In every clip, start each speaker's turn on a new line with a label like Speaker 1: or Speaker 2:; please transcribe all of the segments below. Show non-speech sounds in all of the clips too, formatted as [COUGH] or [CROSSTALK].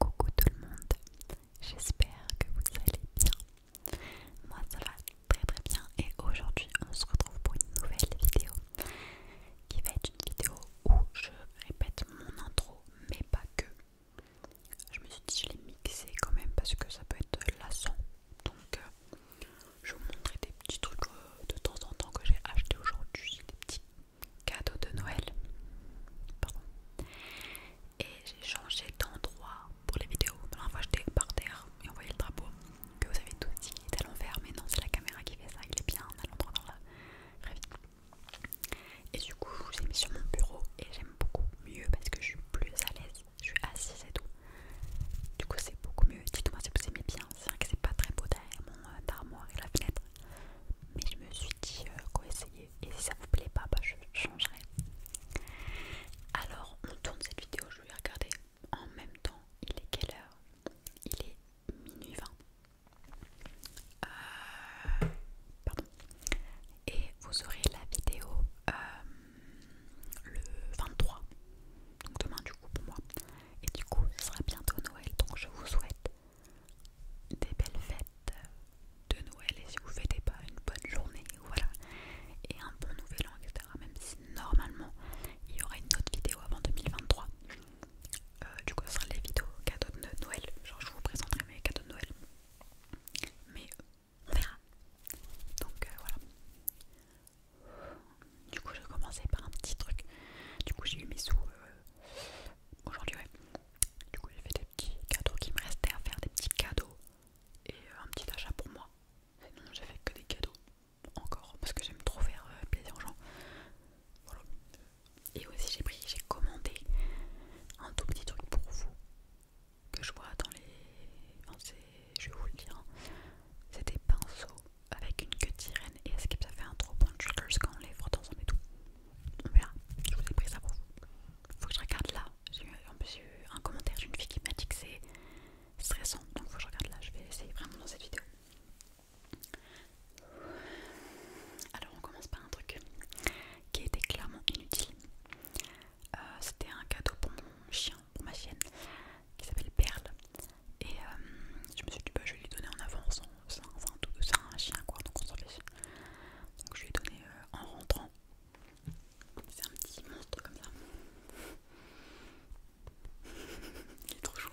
Speaker 1: Coucou tout le monde, j'espère que vous allez bien. Moi ça va très très bien et aujourd'hui on se retrouve pour une nouvelle vidéo qui va être une vidéo où je répète mon intro mais pas que. Je me suis dit je l'ai mixé quand même parce que ça peut être lassant donc, euh, je vais vous montrer des petits trucs euh, de temps en temps que j'ai acheté aujourd'hui, des petits cadeaux de Noël. Pardon. Et j'ai changé d'endroit pour les vidéos. La dernière fois, j'étais par terre et on voyait le drapeau que vous avez tout dit qui à l'envers, mais non, c'est la caméra qui fait ça, il est bien en l'endroit dans la Et du coup, je ai mis sur mon bureau et j'aime beaucoup mieux parce que je suis plus à l'aise je suis assise et tout. Du coup, c'est beaucoup mieux. Dites-moi si vous aimez bien. C'est vrai que c'est pas très beau derrière mon euh, armoire et la fenêtre. Mais je me suis dit euh, qu'on Et si ça vous plaît pas, bah, je changerai. Alors, on tourne cette vidéo. Je vais regarder en même temps. Il est quelle heure Il est minuit 20. Euh, pardon. Et vous aurez la vidéo euh, le 23, donc demain du coup pour moi. Et du coup, ce sera bientôt Noël, donc je vous souhaite des belles fêtes de Noël. Et si vous fêtez pas, une bonne journée, voilà, et un bon nouvel an, etc. Même si normalement, il y aura une autre vidéo avant 2023. Euh, du coup, ce sera les vidéos cadeaux de Noël. Genre, je vous présenterai mes cadeaux de Noël. Mais on verra. Donc euh, voilà. Du coup, j'ai commencé par un petit truc. Du coup, j'ai eu mes sous euh, aujourd'hui, ouais. Du coup, j'ai fait des petits cadeaux qui me restaient à faire, des petits cadeaux et euh, un petit achat pour moi. Sinon, j'ai fait que des cadeaux encore parce que j'aime trop faire euh, plaisir aux gens. Et aussi, j'ai pris, j'ai commandé un tout petit truc pour vous que je vois dans les je vais vous le dire, c'était c'est pinceaux avec une queue de sirène et est-ce que ça fait un trop bon quand on les frotte ensemble et tout On verra, je vous ai pris ça pour vous. Faut que je regarde là, j'ai en plus, eu un commentaire d'une fille qui m'a dit que c'est stressant, donc faut que je regarde là, je vais essayer vraiment dans cette vidéo. Alors on commence par un truc qui était clairement inutile. Euh, c'était un cadeau pour mon chien pour ma chienne qui s'appelle Perle. Et euh, je me suis dit, bah, je vais lui donner en avance. C'est un, chien, quoi, donc on s'en fiche. Donc je lui ai donné euh, en rentrant. C'est un petit monstre comme ça. [LAUGHS] Il est trop chaud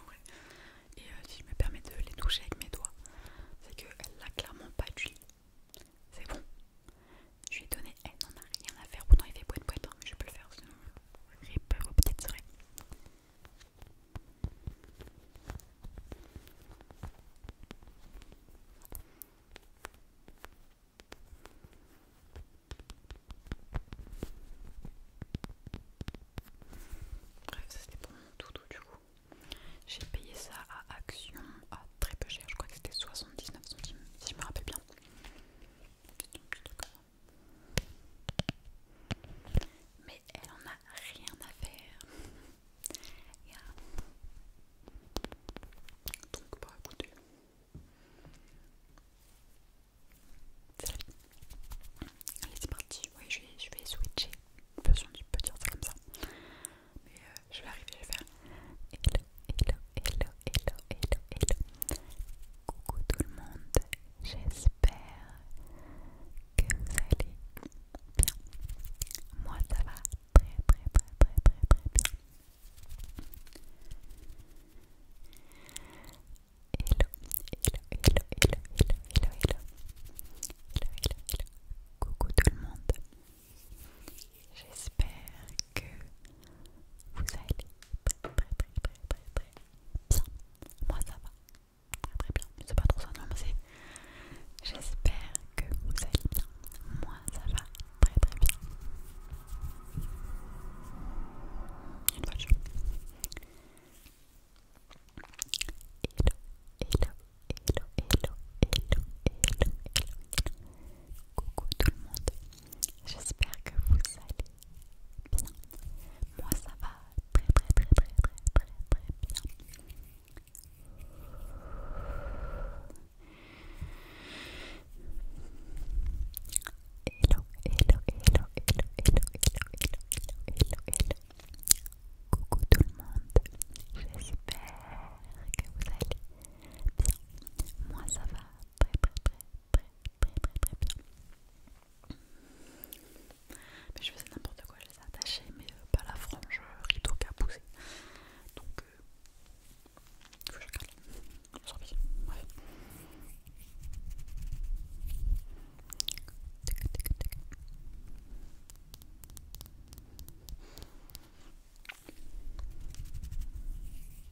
Speaker 1: Et euh, si je me permets de les toucher avec mes doigts, c'est qu'elle n'a clairement pas tué. C'est bon. Je lui ai donné, elle n'en a rien à faire. Pourtant, il fait boîte boîte, hein, mais je peux le faire sinon peur vos petites souris. Bref, ça c'était pour mon doudou du coup. J'ai payé ça à Action à très peu cher, je crois que c'était 79 centimes, si je me rappelle bien. C'est un petit truc mais elle en a rien à faire. Donc, bah écoutez, c'est la Allez, c'est parti. Oui, je vais, je vais switcher. Personne ne petit dire comme ça. Mais euh, je vais arriver, je vais faire hello, hello, hello, hello, hello. Coucou tout le monde, j'espère que vous allez bien. Moi ça va très très très très très très bien. Hello, hello, hello, hello, hello, hello, hello. Hello, hello, Coucou tout le monde. J'espère que vous allez très très très très bien. Moi ça va très bien. C'est pas trop ça non mais c'est... J'espère que vous allez bien. Moi ça va très très bien. Une Hello, hello, hello, hello, hello, hello, hello, hello. Coucou tout le monde. J'espère que vous allez bien. Moi ça va très très très très très très très bien. Hello, hello, hello, hello, hello, hello, hello, hello, hello. Coucou tout le monde. J'espère que vous allez bien. Moi ça va très très très très mais je faisais n'importe quoi, je les attachais, mais euh, pas la frange euh, rideau qu'à poussé. Donc, il euh, faut que je regarde. Bref. Voilà.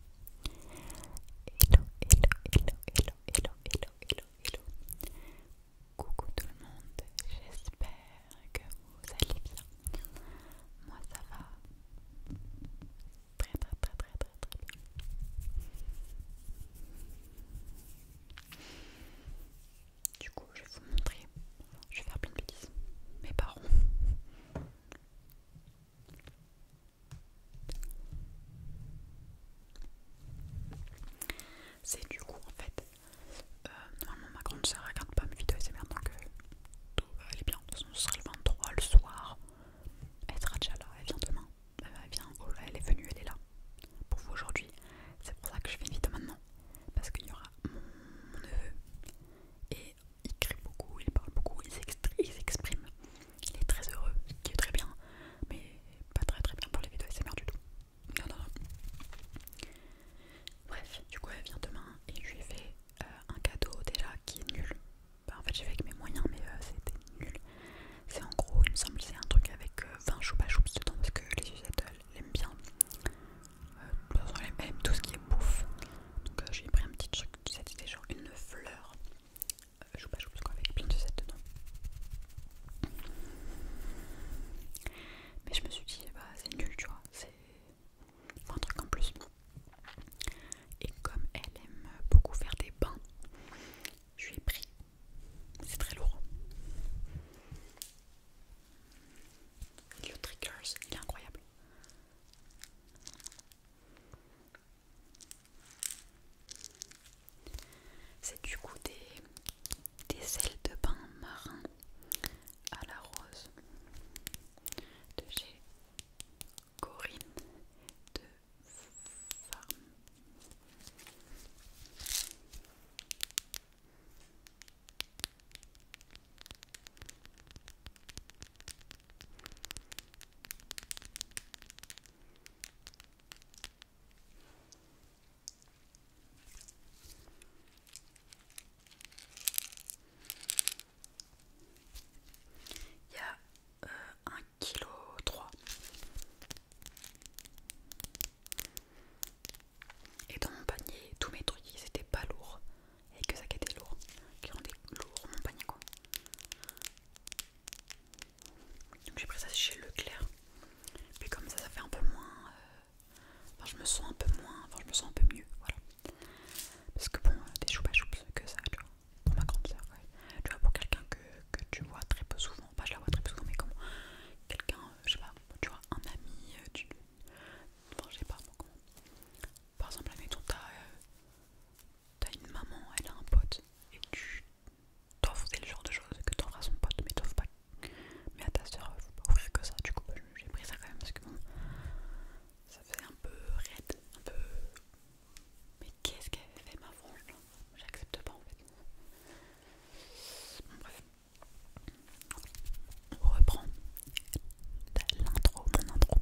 Speaker 1: Hello, hello, hello, hello, hello, hello, hello, Coucou tout le monde, j'espère que vous allez bien. Moi ça va très très très très très très bien. Du coup, je vais vous montrer. Je vais faire plein de bêtises. Mes parents. C'est du coup en fait, euh, normalement ma grande soeur ne regarde pas mes vidéos et c'est maintenant que tout va aller bien. De toute façon, ce sera le 23 le soir. Elle sera déjà là, elle vient demain. Elle vient, oh elle est venue, elle est là pour vous aujourd'hui. C'est pour ça que je fais une vidéo maintenant parce qu'il y aura mon, neveu et il crie beaucoup, il parle beaucoup, il s'exprime. Il est très heureux, ce qui est très bien, mais pas très très bien pour les vidéos merde du tout. Bref, du coup, elle vient demain et je lui ai fait euh, un cadeau déjà qui est nul. Bah, en fait, j'ai fait avec mes moyens, mais euh, c'était nul. C'est en gros, il me semble, c'est un truc avec 20 euh, choupa choups dedans parce que les Suzette l'aiment bien. Elles aiment tout ce qui est bouffe. Donc, j'ai pris un petit truc, c'était genre une fleur je euh, joue pas joue parce qu'on avait plein de sets dedans mais je me suis dit eh ben, c'est nul tu vois c'est un truc en plus et comme elle aime beaucoup faire des bains je lui ai pris c'est très lourd le il est incroyable c'est du coup des, ailes de bain marin à la rose de chez Corinne de Farm. Il y a euh, un kilo trois. Et dans mon panier, tous mes trucs, ils étaient pas lourds. Et que ça qui était lourd. Qui rendait lourd mon panier quoi. Donc j'ai pris ça chez Leclerc. Puis comme ça, ça fait un peu moins. Euh, enfin, je me sens un peu moins. Enfin, je me sens un peu mieux. Voilà. Parce que bon, euh, des choupa choups, que ça, tu vois. Pour ma grande sœur, ouais. Tu vois, pour quelqu'un que, que tu vois très peu souvent. Pas, je la vois très peu souvent, mais comment quelqu'un, euh, je sais pas, tu vois, un ami, tu. Enfin, je sais pas, moi, comment. Par exemple, admettons, t'as t'as une maman, elle a un pote, et tu t'offres, faire le genre de choses que t'offres à son pote, mais t'offres pas. Mais à ta soeur, euh, faut pas ouvrir que ça, du coup, j'ai pris ça quand même parce que bon, ça fait un peu raide, un peu. Mais qu'est-ce qu'elle avait fait ma frange J'accepte pas en fait. Bon, bref. On reprend l'intro, mon intro.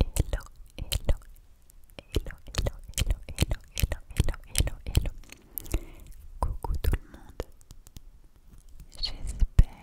Speaker 1: hello, hello, hello, hello. Coucou tout le monde. J'espère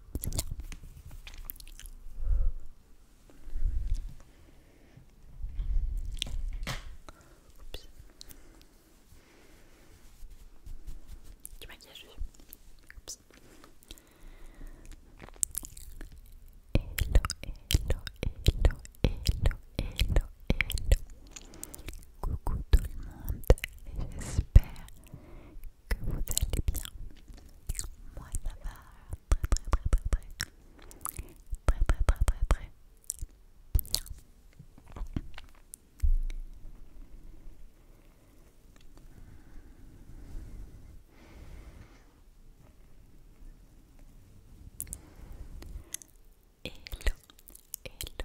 Speaker 1: tu Du maquillage Oups. Hello, hello, hello, hello, hello, hello. Coucou tout le monde, j'espère que vous allez bien. Moi ça va très très très très très très très très très très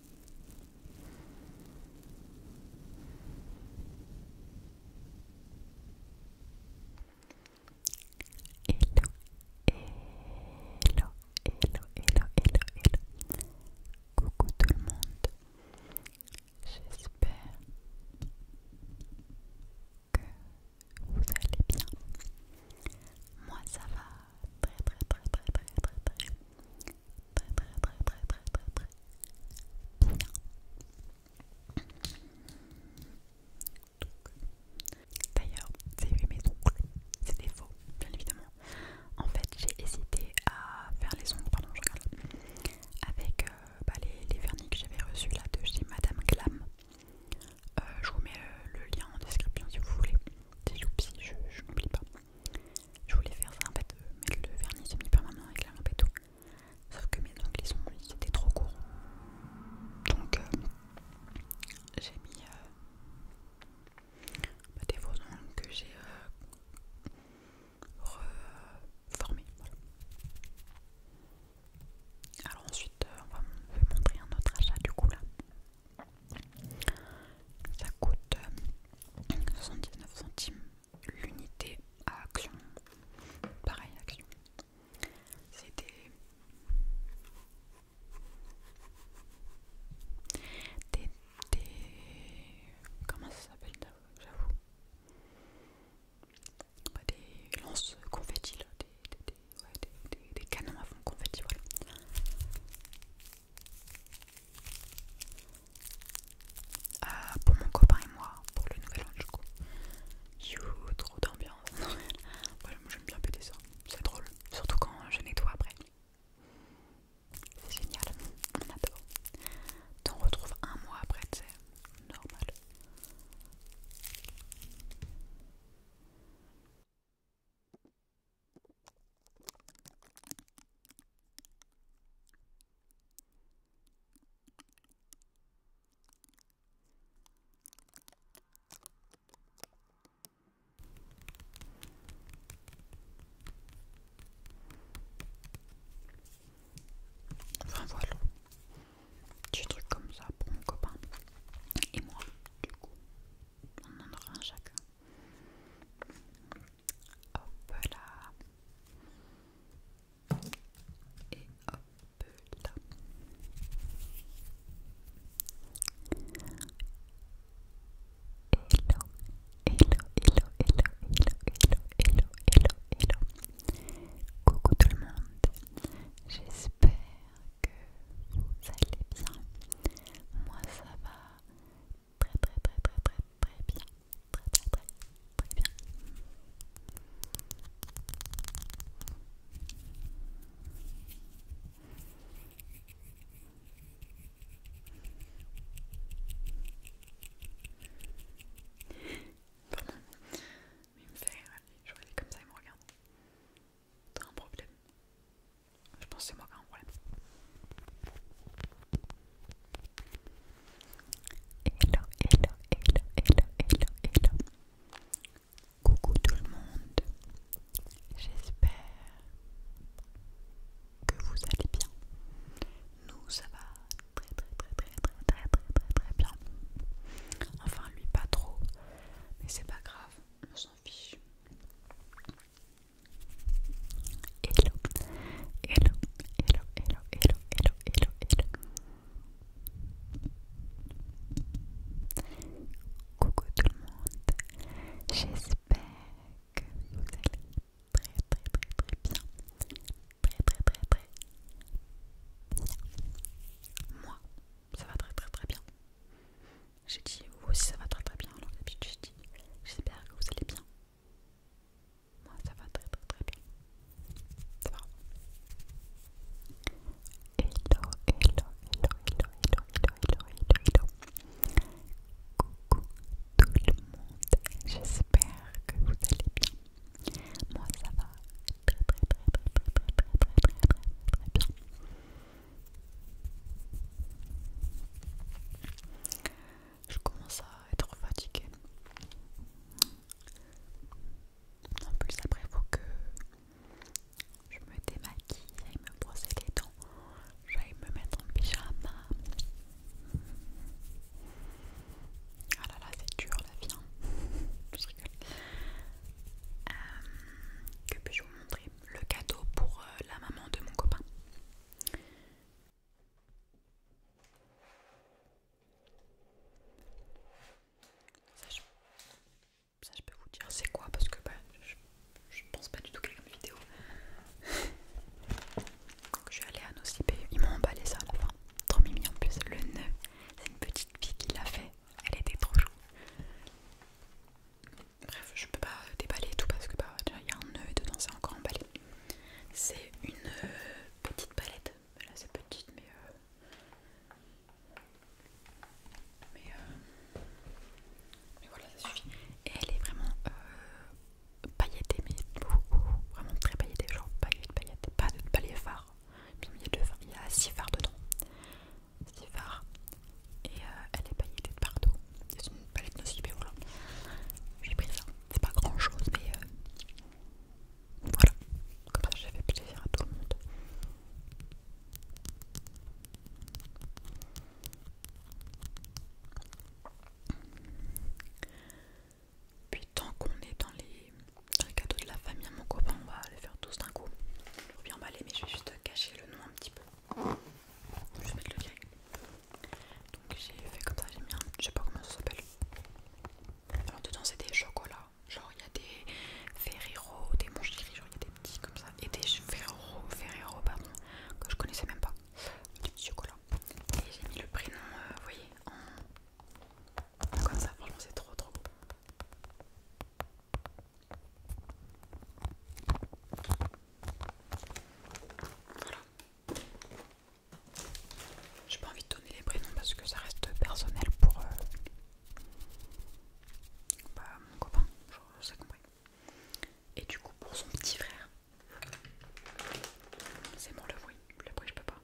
Speaker 1: hello, hello, hello, hello. Coucou tout le monde. J'espère que vous allez bien. Moi ça va très très très très très très très très très très très très très très bien. D'ailleurs, c'est mes ongles, c'était faux, bien évidemment. En fait, j'ai hésité à faire les ongles, pardon, je regarde, avec euh, bah, les, vernis que j'avais reçus là de chez Madame Glam. Euh, je vous mets le lien en description si vous voulez. C'est youpi, je n'oublie pas. Je voulais faire ça en fait, euh, mais le vernis semi-permanent avec la lampe et tout. Sauf que mes ongles ils, sont, étaient trop courts. Donc euh, j'ai mis euh, bah, des faux ongles que j'ai reformés. Alors ensuite, on va vous montrer un autre achat du coup là. Ça coûte 79 euh, centimes l'unité à Action. Pareil, Action. C'est des... des... Comment ça s'appelle J'avoue. Des lances confettis, Des, canons à fond confettis, voilà. Euh, pour mon copain et moi, pour le nouvel an du coup. trop d'ambiance. [LAUGHS] j'aime bien péter ça, c'est drôle. Surtout quand je nettoie après. C'est génial, on adore. T'en retrouves un mois après, c'est normal. Enfin voilà, des trucs comme ça pour mon copain et moi, du coup, on en aura un chacun. Hop là. Et hop là. Hello, hello, hello, hello, hello, hello, hello, hello, hello. Coucou tout le monde. J'espère que vous allez bien. Moi ça va très très très très très très bien. Très très très bien. Pardon, mais il me fait je vois comme ça, il me regarde. T'as un problème je pense que c'est moi qui ai un problème. Hello, hello, hello, hello, hello, hello. Coucou tout le monde. J'espère que vous allez bien. Nous, ça va très très très très très très très très très bien. Enfin, lui pas trop, mais c'est pas grave, on s'en fiche. Hello, hello, hello, hello, hello, hello, hello, Coucou tout le monde. J'espère que vous allez très très très très bien. Très très très très bien. Moi, ça va très très très bien. J'ai dit, vous aussi ça va très très bien. Alors d'habitude, j'ai dit, j'espère que vous allez bien. Moi, ça va très très très bien. Ça va. Hello, hello, hello, hello, hello, hello, hello, Coucou tout le monde. J'espère que vous allez bien. Moi, ça va très très très très très très très très très très, très bien. Je commence à être fatiguée. En plus, après, il faut que je me démaquille, j'aille me brosser les dents, j'aille me mettre en pyjama. Ah là là, c'est dur la vie. Hein. je rigole. Euh, que puis-je vous montrer le cadeau pour euh, la maman de mon copain. Ça je, peux vous dire c'est quoi parce que bah, je, pense pas du tout qu'il y ait une vidéo. Donc, [LAUGHS] je suis allée à cibés, ils m'ont emballé ça enfin la Trop mimi en plus, le nœud, c'est une petite fille qui l'a fait, elle était trop jolie. Bref, je peux pas déballer tout parce que bah, il y a un nœud et dedans c'est encore emballé. C'est une euh, petite palette. Là c'est petite mais... Euh... Mais, euh... voilà, ça suffit. Et elle est vraiment euh, pailletée, mais vraiment très pailletée. Genre paillettes, paillettes, pas de palais phare. Il y a six phares dedans. Six phares et euh, elle est pailletée de partout. C'est une palette nocibé, voilà. J'ai pris ça, c'est pas grand chose, mais euh, voilà. Comme ça, j'ai fait plaisir à tout le monde. Puis tant qu'on est dans les, cadeaux de la famille à mon copain, on va les faire tous d'un coup. Il faut bien emballer, mais je vais juste cacher le nom un petit peu. Je vais mettre le gag. Donc j'ai fait comme ça, j'ai mis un. Je sais pas comment ça s'appelle. Alors dedans c'est des chocolats. Genre il y a des Ferrero, des Monchiri, genre il y a des petits comme ça. Et des Ferrero, Ferrero pardon, que je connaissais même pas. Des petits chocolats. Et j'ai mis le prénom, euh, vous voyez, en. Comme ça, franchement c'est trop trop beau. Voilà. J'ai pas envie de donner les prénoms parce que ça reste personnel pour euh, bah, mon copain, ça compris. Et du coup pour son petit frère. C'est bon le bruit, le bruit je peux pas.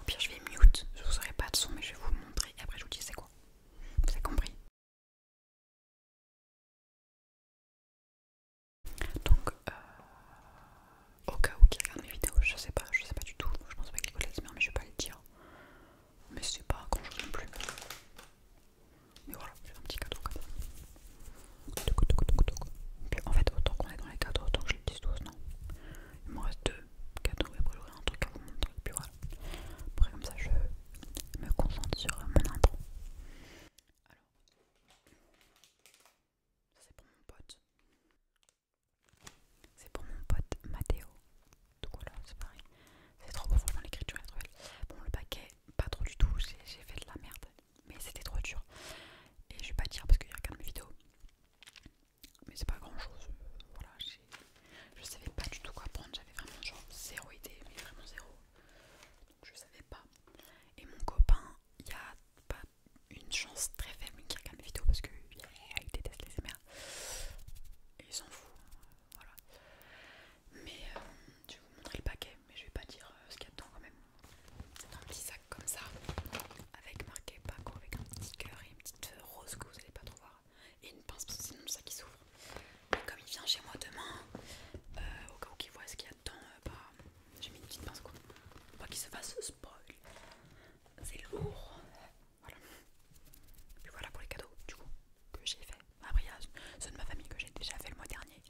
Speaker 1: Au pire je vais mute, je vous aurai pas de son mais je vais vous le montrer et après je vous dis c'est quoi. Vous avez compris donc, euh, au cas où qui regarde mes vidéos, je sais pas, je sais pas du tout, je pense pas qu'il connaisse mais je vais pas le dire. Mais c'est pas grand chose non plus. Mais voilà, j'ai un petit cadeau En fait, autant qu'on est dans les cadeaux, autant que je les non Il me reste deux cadeaux et un truc à vous montrer, puis voilà. Après, comme ça, je me concentre sur mon alors, ça c'est pour mon pote. C'est pour mon pote Mathéo. Donc voilà, c'est pareil. C'est trop beau, franchement, l'écriture est trop belle. Bon, le paquet, pas trop du tout, j'ai fait de la merde. Mais c'était trop dur. Et je vais pas dire parce qu'il regarde mes vidéos. Mais c'est pas grand chose. Voilà, je savais pas du tout quoi prendre. J'avais vraiment genre zéro idée, mais vraiment zéro je savais pas. Et mon copain, il y a pas une chance très faible qu'il regarde vidéo vidéos parce que il déteste les MR. Et il s'en fout, voilà. Mais euh, je vais vous montrer le paquet, mais je vais pas dire euh, ce qu'il y a dedans quand même. C'est un petit sac comme ça, avec marqué Paco, avec un petit cœur et une petite euh, rose que vous allez pas trop voir, et une pince, parce que sinon ça qui s'ouvre comme il vient chez moi demain, euh, au cas où qu'il voit ce qu'il y a dedans, euh, bah, j'ai mis une petite pince Pour pas qu'il se fasse spoil. C'est lourd. Voilà. Puis voilà pour les cadeaux du coup que j'ai fait. Après il ceux de ma famille que j'ai déjà fait le mois dernier.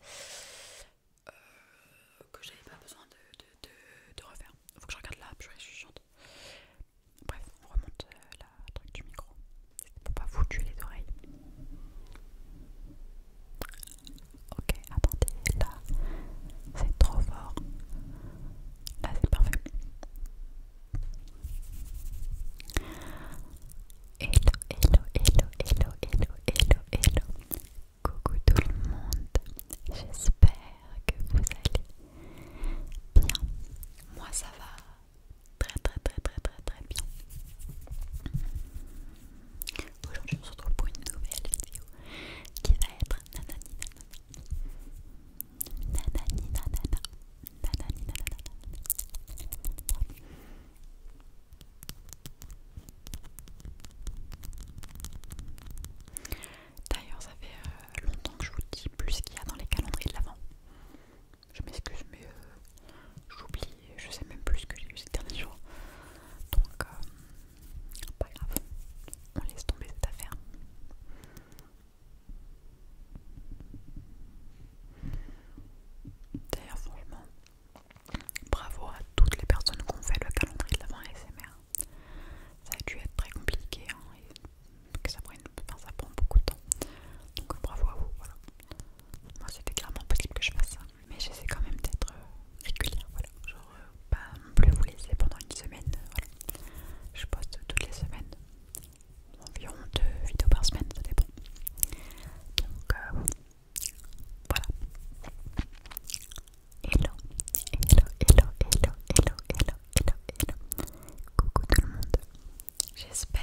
Speaker 1: Euh, que j'avais pas besoin de, refaire, il refaire. Faut que je regarde là, je suis chante. Bref, on remonte la truc du micro pour pas vous les oreilles. Ok, attendez, là c'est trop fort. Là c'est parfait. Hello, hello, hello, hello, hello, hello, hello. Coucou tout le monde. J'espère que vous allez bien. Moi ça va très très très très très très bien. Aujourd'hui on se retrouve pour une nouvelle vidéo qui va être nanani nanana. Nanani nanana. Nanani nanana. D'ailleurs ça fait euh, longtemps que je vous dis plus ce qu'il y a dans les calendriers de l'avant. Je m'excuse, mais euh, j'oublie, je sais même plus ce que j'ai eu ces derniers jours. Donc, euh, pas grave, on laisse tomber cette affaire. D'ailleurs, franchement, bravo à toutes les personnes qui ont fait le calendrier de l'avant ASMR. Ça a dû être très compliqué hein, et ça, prend beaucoup de temps. Donc, bravo à vous, voilà. Moi c'était clairement possible que je fasse ça. Mais j'essaie quand même d'être euh, régulière, voilà. Genre euh, pas non plus vous laisser pendant une semaine, euh, voilà. Je poste toutes les semaines, environ deux vidéos par semaine, ça dépend. Donc voilà. Hello, hello, hello, hello, hello, hello, hello, hello. Coucou tout le monde. J'espère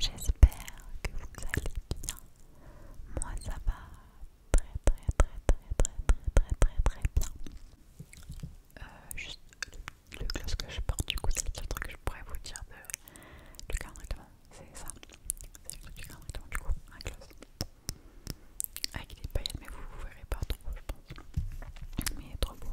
Speaker 1: J'espère que vous allez bien. Moi ça va très très très très très très très très très bien. Euh, juste le, gloss que je porte du coup c'est le truc que je pourrais vous dire du carnet C'est ça. C'est le truc du carnet de du coup. Un gloss. Avec des paillettes mais vous vous verrez pas trop je pense. Mais il est trop beau.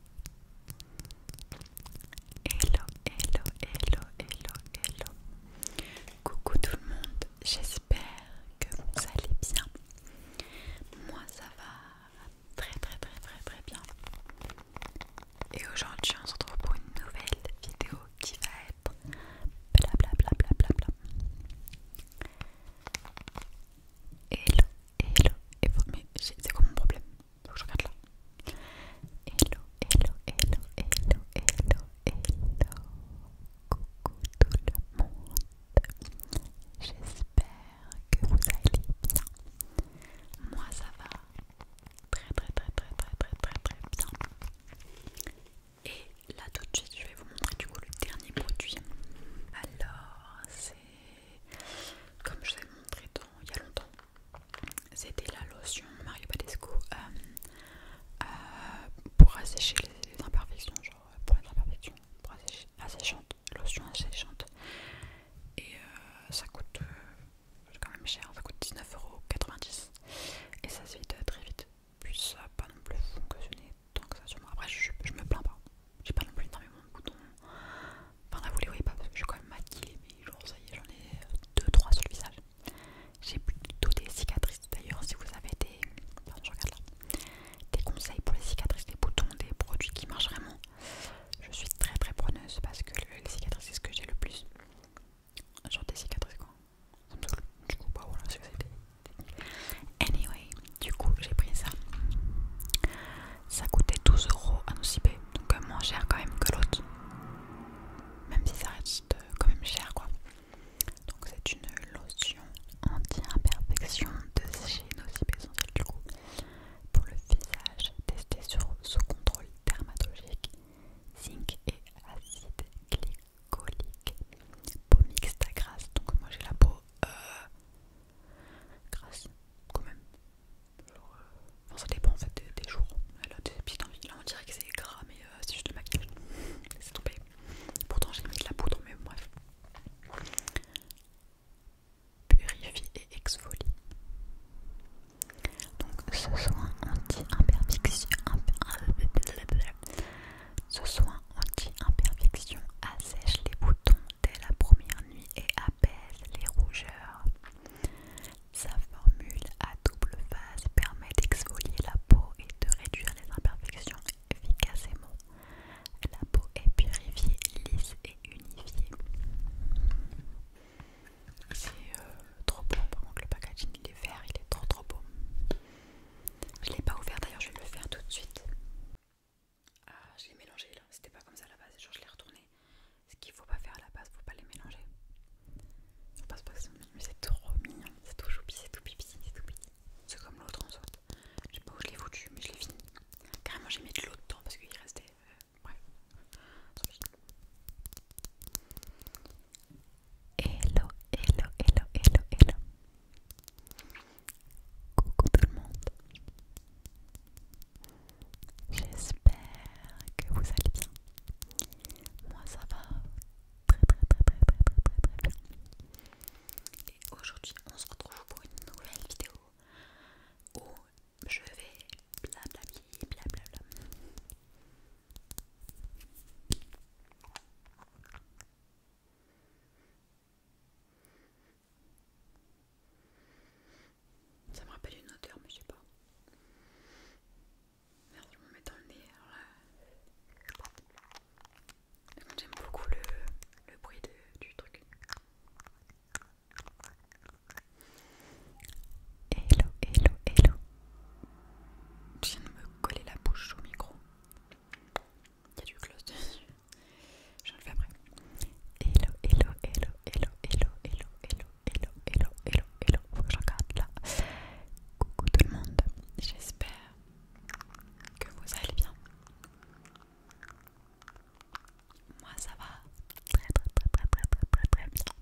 Speaker 1: Hello, hello, hello, hello, hello. Coucou tout le monde, j'espère que vous allez bien. Moi ça va très très très très très bien. Et aujourd'hui on se retrouve pour une nouvelle vidéo qui va être blablabla. Bla bla bla bla bla. Hello, hello, vous mais c'est comme mon problème Faut je regarde là. Hello, hello, hello, hello, hello, hello. Coucou tout le monde. J'espère que vous allez bien. Moi ça va très très très très très très très très bien. Et là tout de suite je vais vous montrer du coup le dernier produit. Alors c'est comme je vous ai montré tout il y a longtemps. C'était la lotion Mario Badescu euh, euh, pour assécher les, imperfections, genre pour les imperfections, pour assécher, asséchante, lotion asséchante. Et euh, ça coûte quand même cher, ça coûte 19,90€ et ça se vide très vite. Puis ça n'a pas non plus fonctionné tant que ça, moi Après, je me plains pas, j'ai pas non plus énormément de boutons. Enfin là vous les voyez pas parce que je suis quand même maquillée mais genre ça y est j'en ai 2-3 euh, sur le visage. J'ai plutôt des cicatrices d'ailleurs si vous avez des. Pardon je regarde là. Des conseils pour les cicatrices, des boutons, des produits qui marchent vraiment. Je suis très très preneuse parce que les cicatrices c'est ce que j'ai le plus. Genre des cicatrices quoi. Du coup bah voilà Anyway, du coup j'ai pris ça ça coûtait 12 euros à nos donc euh, moins cher quand même que l'autre, même si ça reste euh, quand même cher quoi. Donc c'est une lotion anti-imperfection de chez Nocib Essentiel du coup pour le visage testé sur sous contrôle dermatologique, zinc et acide glycolique, peau mixte à grasse. Donc moi j'ai la peau euh, grasse quand même, euh, ça dépend en fait des, jours. Elle a des petites envies. Là, on dirait que c'est gras, mais c'est euh, juste le maquillage. c'est tombé. Pourtant, j'ai mis de la poudre, mais bref. Purifie et exfolie. Donc, ce soin anti-imperfection. [LAUGHS] Ce soin anti-imperfection assèche les boutons dès la première nuit et apaise les rougeurs. Sa formule à double phase permet d'exfolier la peau et de réduire les imperfections efficacement. La peau est purifiée, lisse et unifiée. C'est euh, trop beau, par contre le packaging il est vert, il est trop trop beau. Je l'ai pas ouvert d'ailleurs, je vais le faire tout de suite. Ah, je l'ai mélangé là, c'était pas comme ça à la base, genre je l'ai retourné. Ce qu'il faut pas faire à la base, faut pas les mélanger. Ça passe pas mais c'est trop mignon, c'est tout choupi, c'est tout pipi, c'est tout pipi C'est comme l'autre en soi. Je sais pas où je l'ai foutu, mais je l'ai fini. Carrément, j'ai mis de l'eau dedans parce qu'il restait. Euh, ouais. Hello, hello, hello, hello, hello. Coucou tout le monde. J'espère que vous allez bien. Moi ça va très très très très très très très très bien. Et aujourd'hui on se retrouve pour une nouvelle vidéo où je vais blablabli blablabla. Ça me rappelle une odeur, mais je sais pas. Merde, je me mets dans le nez. Alors là... J'aime beaucoup le, bruit du truc. Hello, hello, hello. Je viens de me coller la bouche au micro. Il y a du close dessus. Je le fais après. Hello, hello, hello, hello, hello, hello, hello, hello, hello, hello, hello. Faut que je regarde là. Coucou tout le monde. J'espère que vous allez bien. Moi ça va très très très très très très très très bien.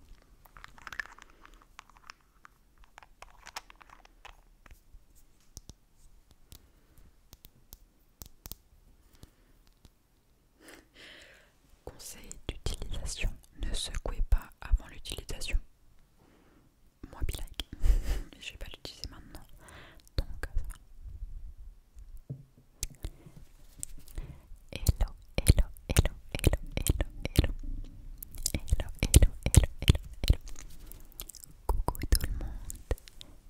Speaker 1: Conseil d'utilisation ne secouez pas avant l'utilisation. Moi, bilingue, [LAUGHS] je vais pas l'utiliser maintenant. Donc, hello, hello, hello, hello, hello, hello, hello, hello, hello, hello, hello. Coucou tout le monde.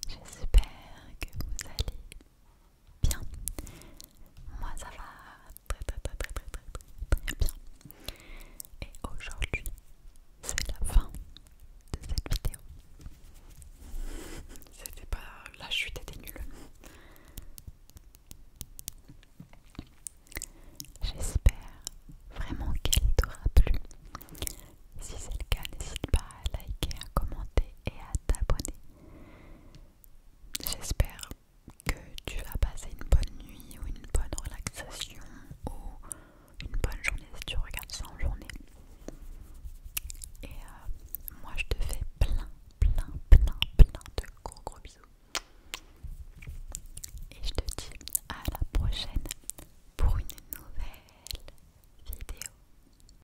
Speaker 1: J'espère que vous allez bien. Moi ça va très très très très très très très bien. Et aujourd'hui, c'est la fin de cette vidéo. [LAUGHS] C'était pas la chute était nulle. J'espère vraiment qu'elle t'aura plu. Si c'est le cas, n'hésite pas à liker, à commenter et à t'abonner. J'espère que tu vas passer une bonne nuit ou une bonne relaxation ou une bonne journée si tu regardes ça en journée. Et euh, moi je te fais plein, plein, plein, plein de gros gros bisous. Et je te dis à la prochaine pour une nouvelle vidéo.